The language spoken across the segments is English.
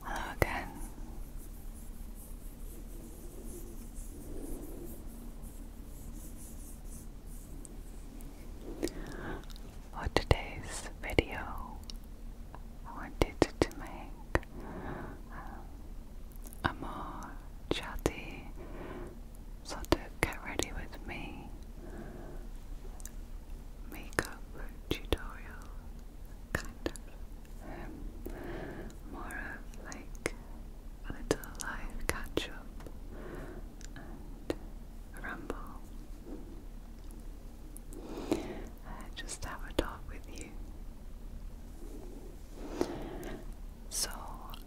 Hello again. For today's video, I wanted to make um, are more chatty, sort of get ready with me makeup tutorial kind of more of like a little live catch up and ramble. just have a talk with you. So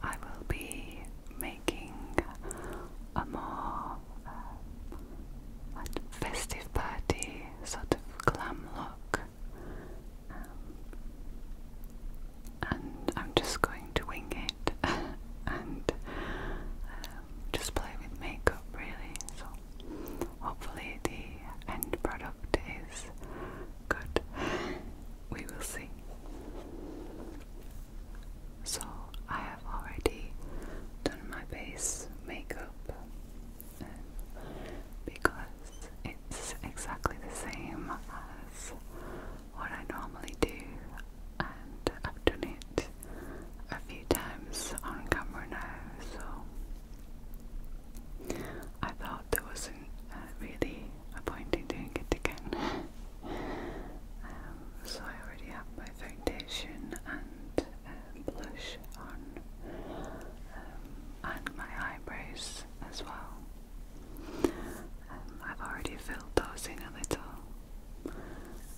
I will be making a more uh, festive party sort of glam look. Um, and I'm just going to wing it and um, just play with makeup really. So hopefully the end product is Good. We will see. So, I have already done my base makeup because it's exactly the same as what I normally do, and I've done it a few times on camera now, so I thought there was uh, really a doing it again. Um, so I already have my foundation and uh, blush on, um, and my eyebrows as well. Um, I've already filled those in a little,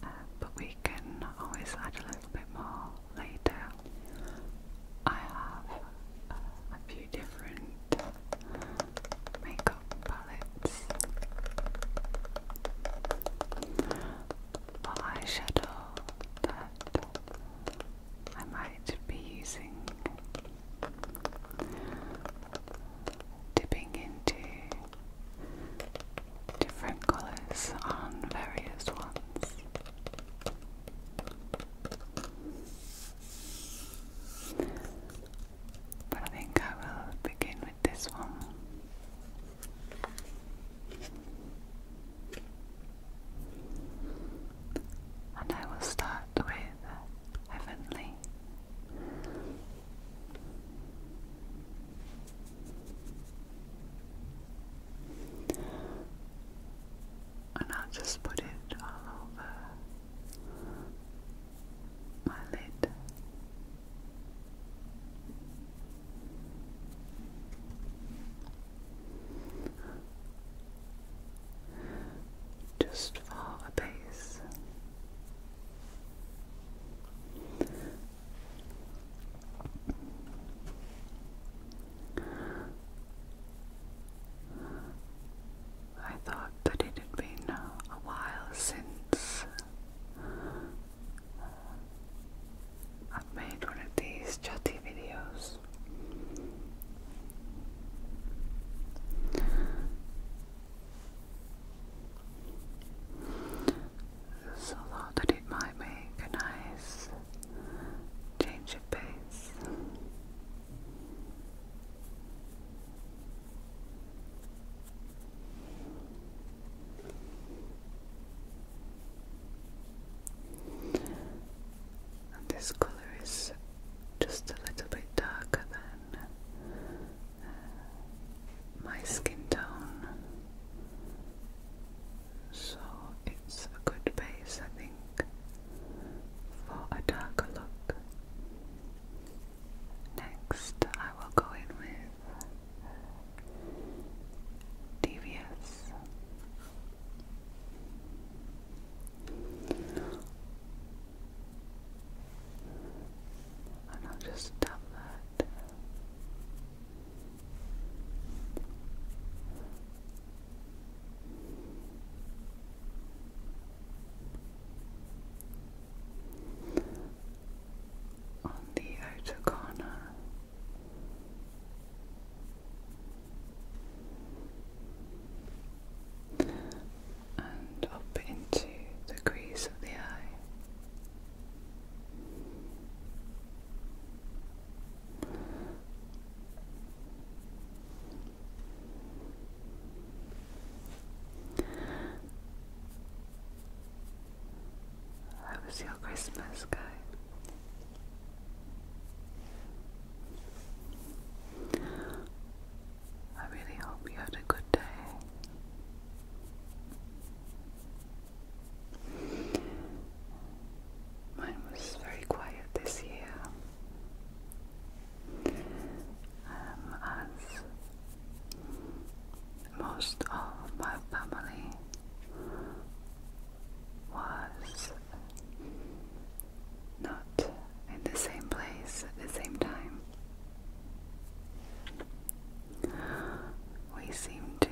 uh, but we can always add a little bit more later I have uh, a few different makeup palettes for eyeshadow that I might be using dipping into different colours on various ones. But I think I will begin with this one. And I will start with Heavenly and I'll just put it all over my lid. Just for a base, I thought that it had been a while since I've made one of these chatty videos. So thought that it might make a nice Change of pace. this color is just a little bit darker than uh, my skin tone so it's a good base, I think, for a darker look. Next, I will go in with Devious. And I'll just dab that on the outer corner. And up into the crease of the eye. How was your Christmas, guy? I really hope you had a good day. Mine was very quiet this year, um, as most of my family was not in the same place at the same time. We seem to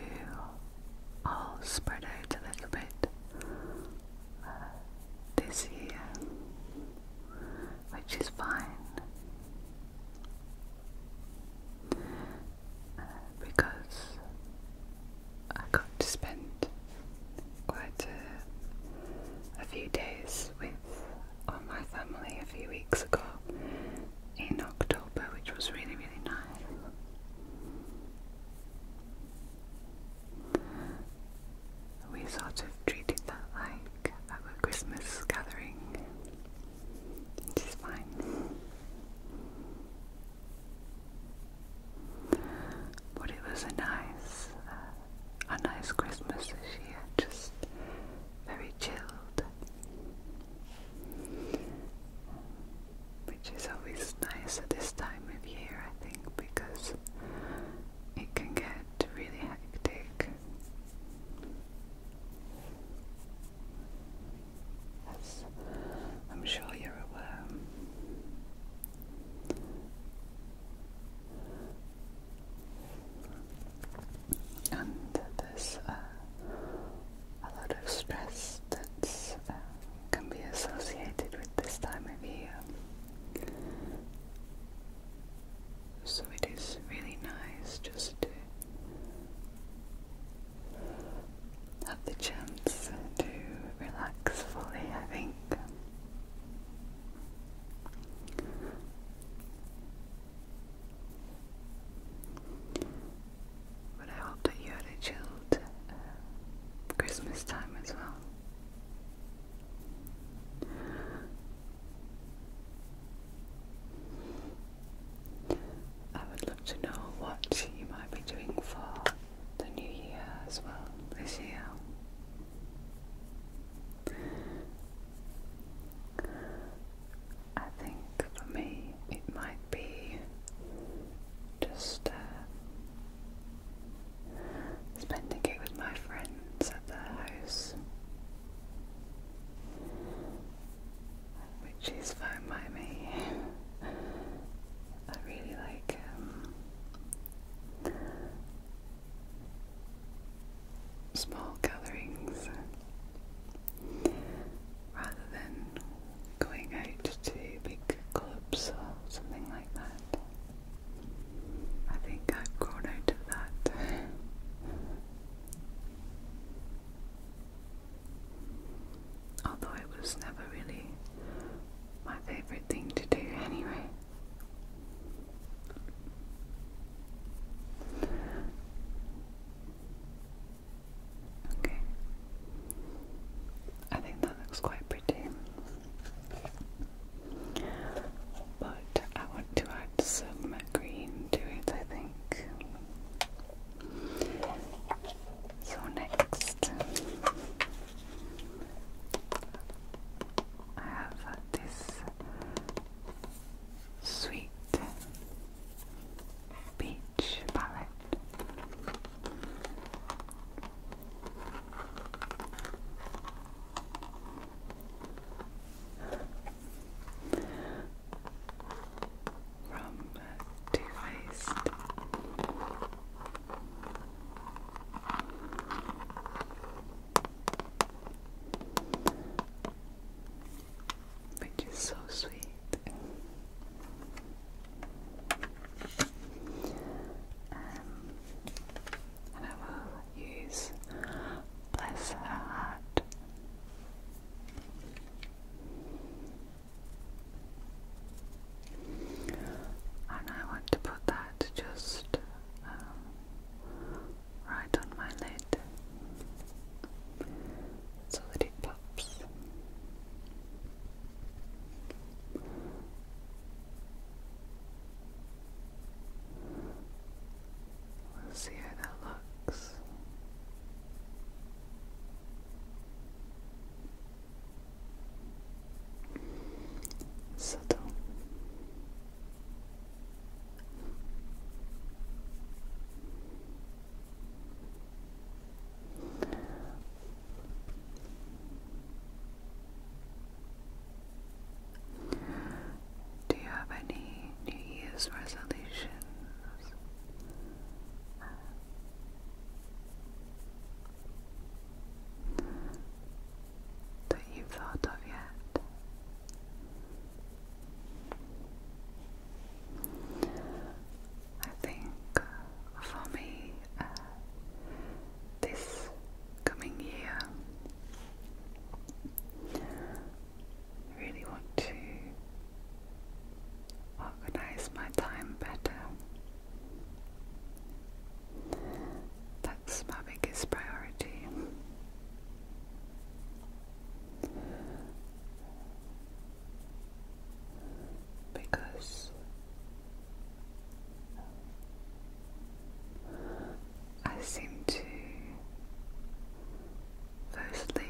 all spread out a little bit uh, this year, which is fine uh, because I got to spend quite a, a few days with all my family a few weeks ago in October, which was really, really nice. We sort of treated that like a Christmas gathering, which is fine. But it was a nice, uh, a nice Christmas this year, just very chilled which is always nice at this time of year, I think, because it can get really hectic. As I'm sure you're aware. And there's uh, a lot of stress that uh, can be associated with this time of year. So it is really nice just to have the chance to relax fully, I think. But I hope that you had a chilled uh, Christmas time as well. I would love to know what you might be doing for the new year as well this year. I think for me it might be just uh, spending it with my friends at their house, which is fine by me. I really like um, small gatherings rather than going out to big clubs or something like that. I think I've grown out of that. Although it was never really my favourite thing to do anyway. Okay. I think that looks quite pretty. But I want to add some green to it, I think. So, next, I have this sweet Beach palette. From Too Faced. Which is so sweet cute. Um, and I will use Bless Her Heart. And I want to put that just um, right on my lid so that it pops. see how that looks. Subtle. Do you have any New Year's resolutions? that you've thought of yet? I think for me, uh, this coming year, I really want to organize my time better. That's my biggest priority because I seem to firstly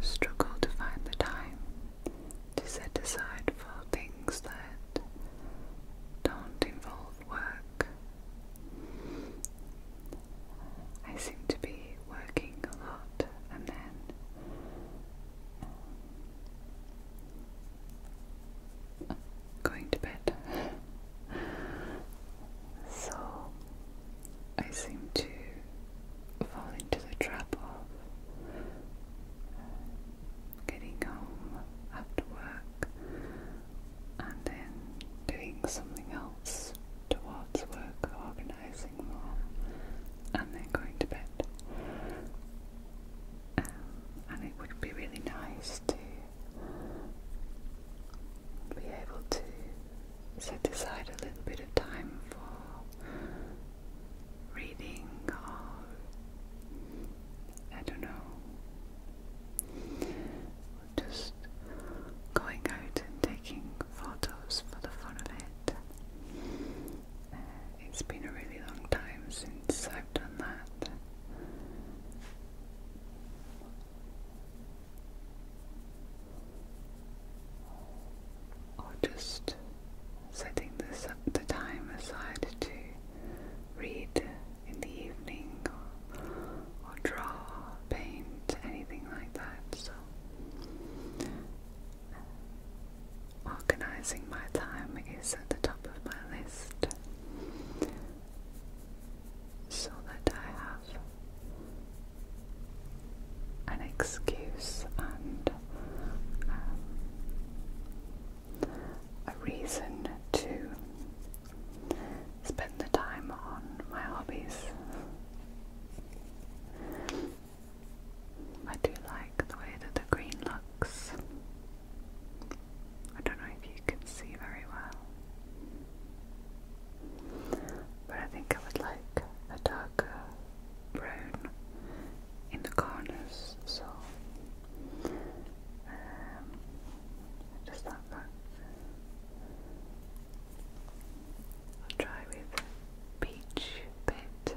struggle to find the time to set aside for things that don't involve work. I seem to be working a lot and then going to bed. so I seem to fall into the trap of getting home after work and then doing something else towards work, organising and then going to bed. Um, and it would be really nice to be able to set aside a little bit of time for reading or I don't know, just going out and taking photos for the fun of it. Uh, it's been a really long time since I've done that. Or just setting this, the time aside to read in the evening or draw, paint, anything like that. So Organizing my time is at the top of my list so that I have an excuse and um, a reason to spend the time on my hobbies. I do like the way that the green looks. I don't know if you can see very well, but I think I would like a darker brown in the corners. So, um, just that look. I'll try with peach bit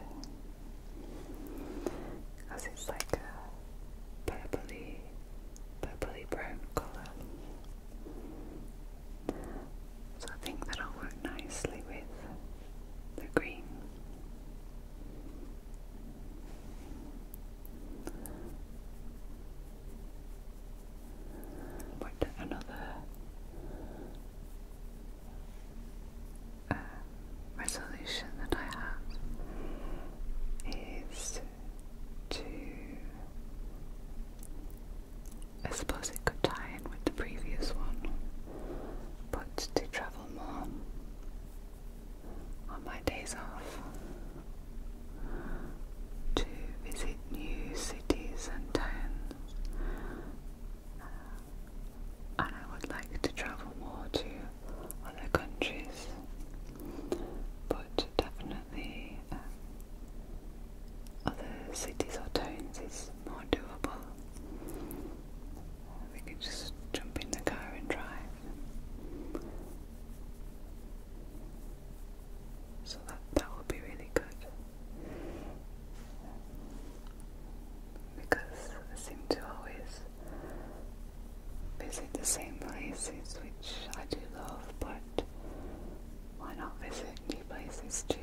because it's like a purpley, purpley brown colour. So I think that'll work nicely with the green but another um, resolution that I have is to I suppose it could tie in with the previous one, but to travel more on my days off, to visit new cities and towns, and I would like to travel more to other countries, but definitely um, other cities or towns is more doable. We could just jump in the car and drive. So that that would be really good because I seem to always visit the same places which I do love, but why not visit new places too?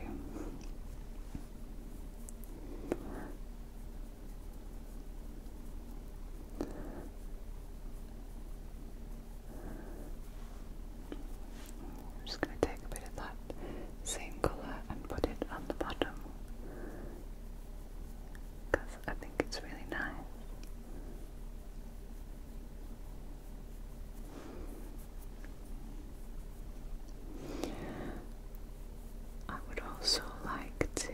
i just going to take a bit of that same colour and put it on the bottom because I think it's really nice. I would also like to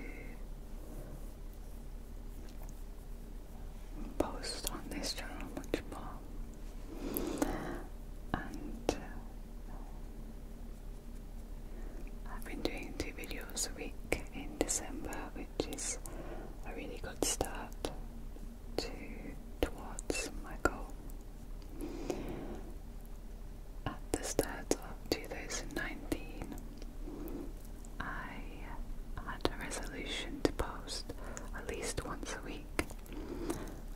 post on this channel much more and uh, I've been doing two videos a week in December which is a really good start to towards my goal at the start of 2019 I had a resolution to post at least once week,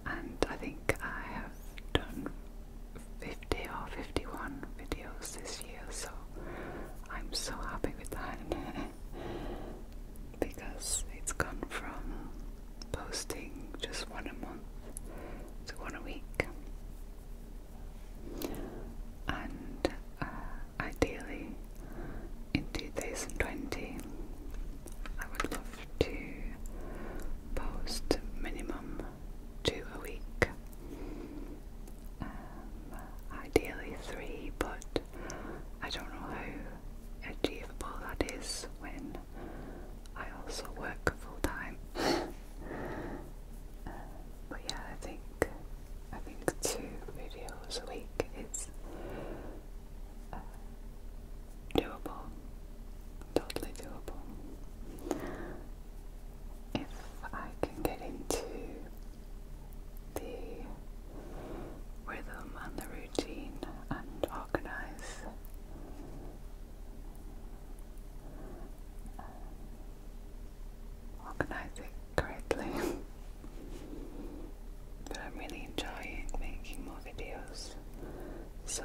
and I think I have done 50 or 51 videos this year, so I'm so happy with that because it's gone from posting just one a month to one a week. And uh, ideally in 2020. I would love to post minimum two a week. Um, ideally three, but I don't know how achievable that is when I also work full time. Uh, but yeah, I think I think two videos a week is is uh, doable, totally doable. If I can get into the rhythm and the routine and organize organize it correctly But I'm really enjoying making more videos, so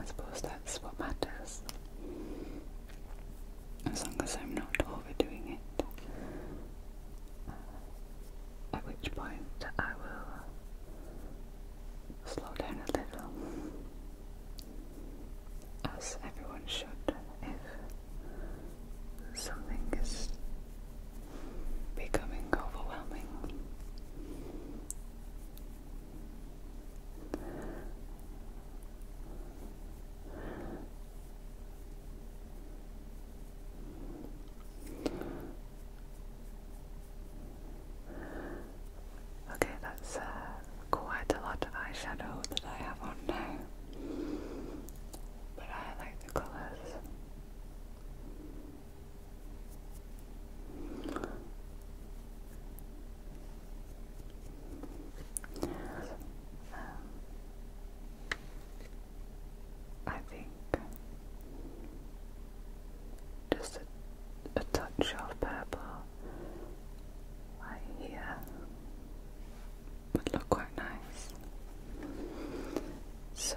I suppose that's what matters. As long as I'm not overdoing it, uh, at which point I will slow down a little, as everyone should if something is becoming overwhelming. Okay, that's uh, quite a lot of eyeshadow that I have on now but I like the colors. Um, I think just a touch of purple right here would look quite nice. So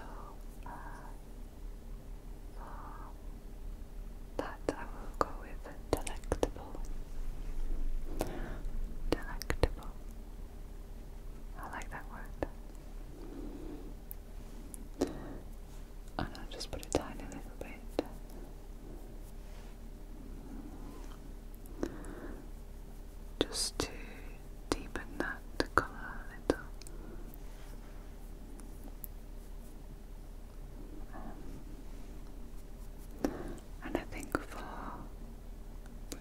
uh, that I will go with delectable. Delectable. I like that word. And I'll just put a little bit just to deepen that colour a little. Um, and I think for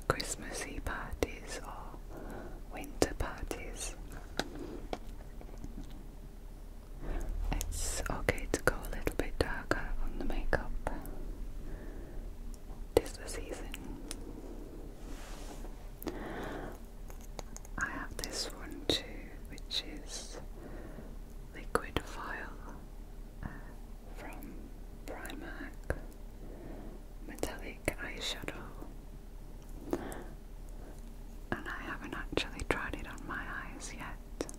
Christmassy parties or winter parties, it's okay to go a little bit darker on the makeup Tis season. I have this one too, which is Liquid File uh, from Primark Metallic Eyeshadow. And I haven't actually tried it on my eyes yet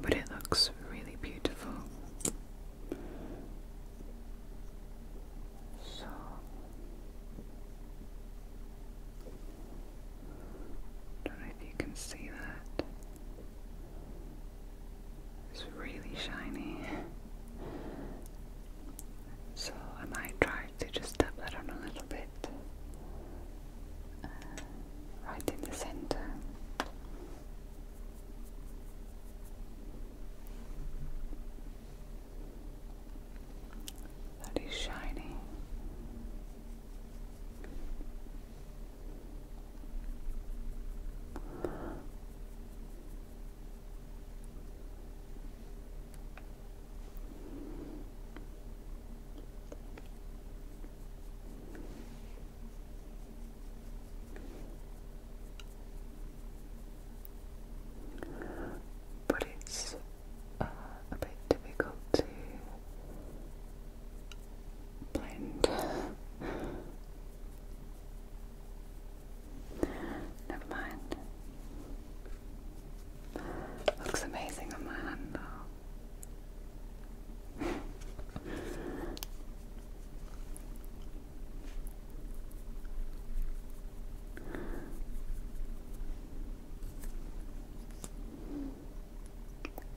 but it looks really beautiful. So don't know if you can see that. It's really shiny. So I might try to just tap that on a little bit. Uh, right in the center. That is shiny. But it's uh, a bit difficult to blend. Never mind. Looks amazing on my hand though.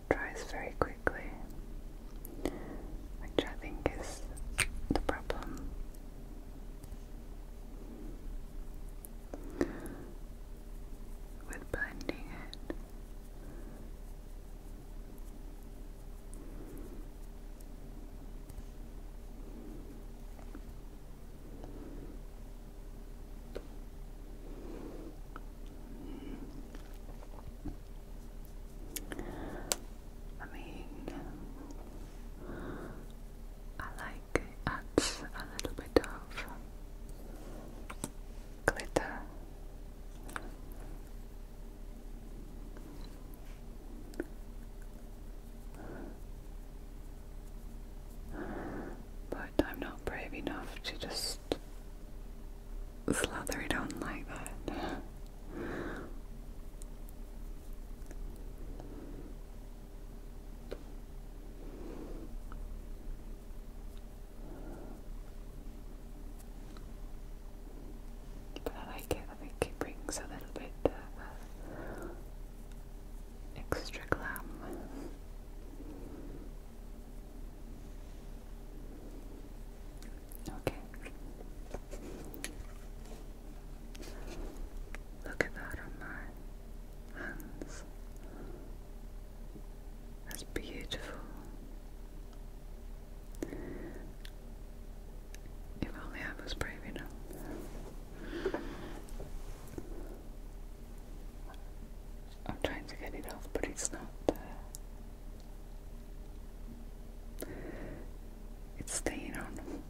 Dries very quickly, which I think is the problem. With blending it I mean, I like adds a little bit of glitter. But I'm not brave enough to just slather it on like that. But I like it, I think it brings a little bit uh, extra glam. Okay. Look at that on my hands. That's beautiful. If only I was brave enough. I'm trying to get it off, but it's not. Uh, it's staying on.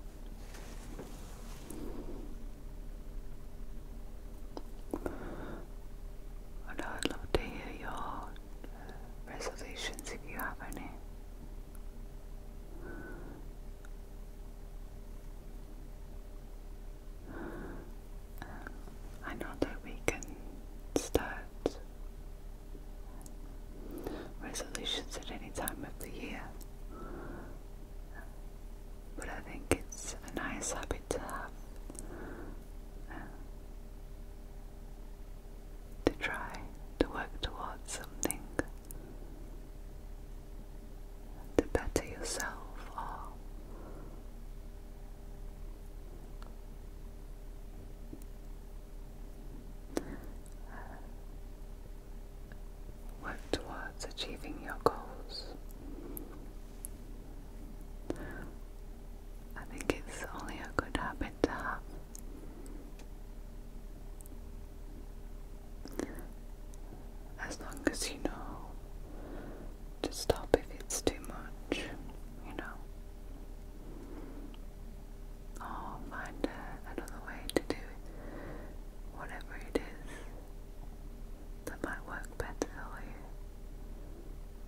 I would love to hear your reservations if you have any. I know that we can start resolutions at any time of the year, but I think it's a nice habit to have to try to work towards something, to better yourself or work towards achieving your goals. I think it's only a good habit to have. As long as you know to stop if it's too much, you know. Or find another way to do it, whatever it is that might work better for you.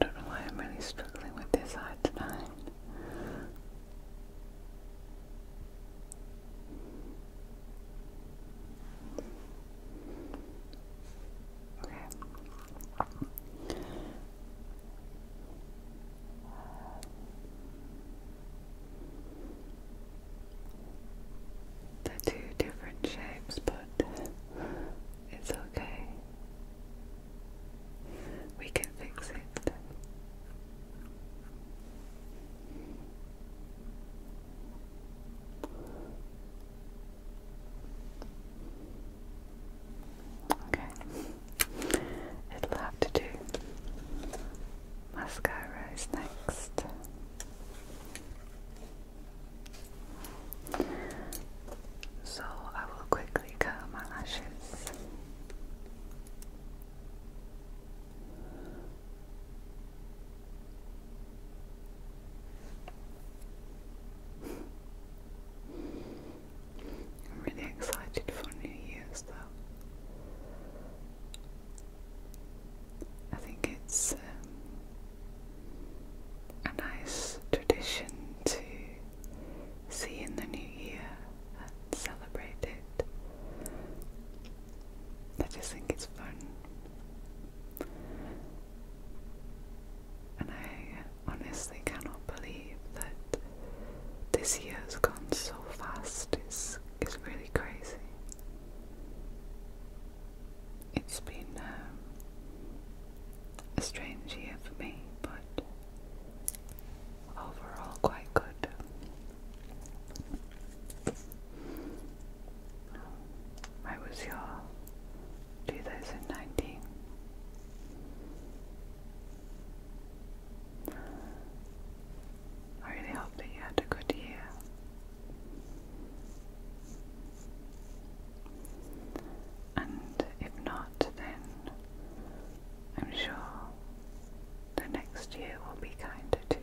I don't know why I'm really struggling with this eye tonight. Okay. They're two different shapes, but it's okay. We can fix it. Okay. It'll have to do. Mascara is next. So I will quickly curl my lashes. I'm really excited for New Year's though. I think it's um, a nice tradition to see in the new year and celebrate it. I just think it's fun. And I honestly cannot believe that this year has gone so fast. It's, it's really crazy. It's been um, a strange year for me, but overall quite good. I was your 2019. I really hope that you had a good year. And if not, then I'm sure the next year will be kinder to you.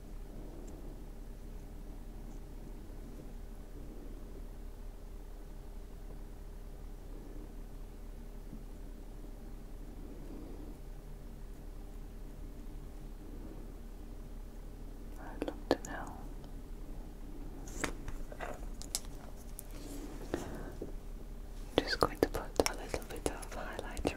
I'd love just going to put a little bit of highlighter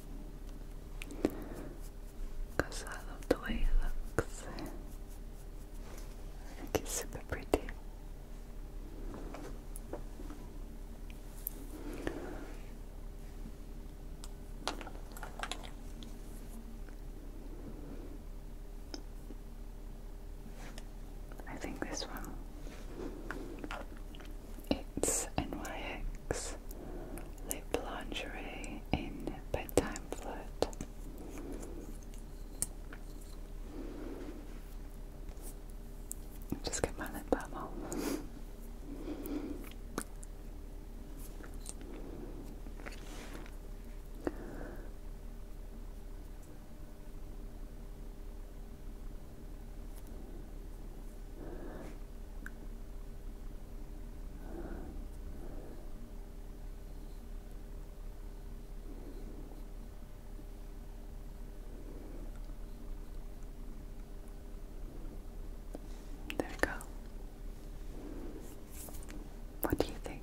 Because I love the way it looks. I think it's super pretty. I think this one it's NYX Lip Lingerie in Bedtime Flirt. Just get my lip balm off. There we go. What do you think?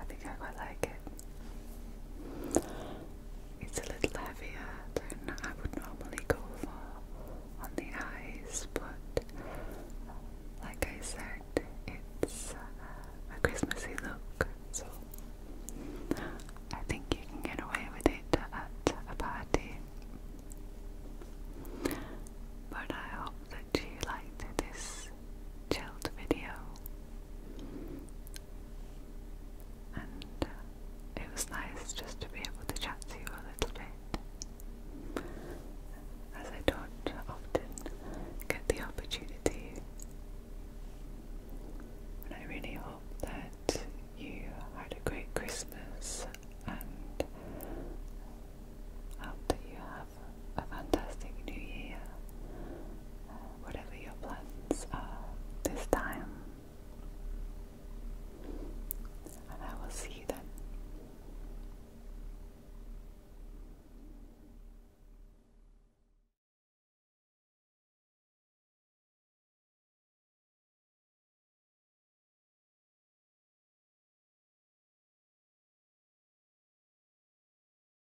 I think I quite like it. It's a little heavier than I would normally go for on the eyes, but like I said, it's uh, a Christmassy look, so I think you can get away with it at a party. But I hope that you liked this chilled video and uh, it was nice just to be able to chat to you a little bit. As I don't often get the opportunity, and I really hope that you had a great Christmas and um, hope you have a fantastic new year whatever your plans are this time. I will see you then.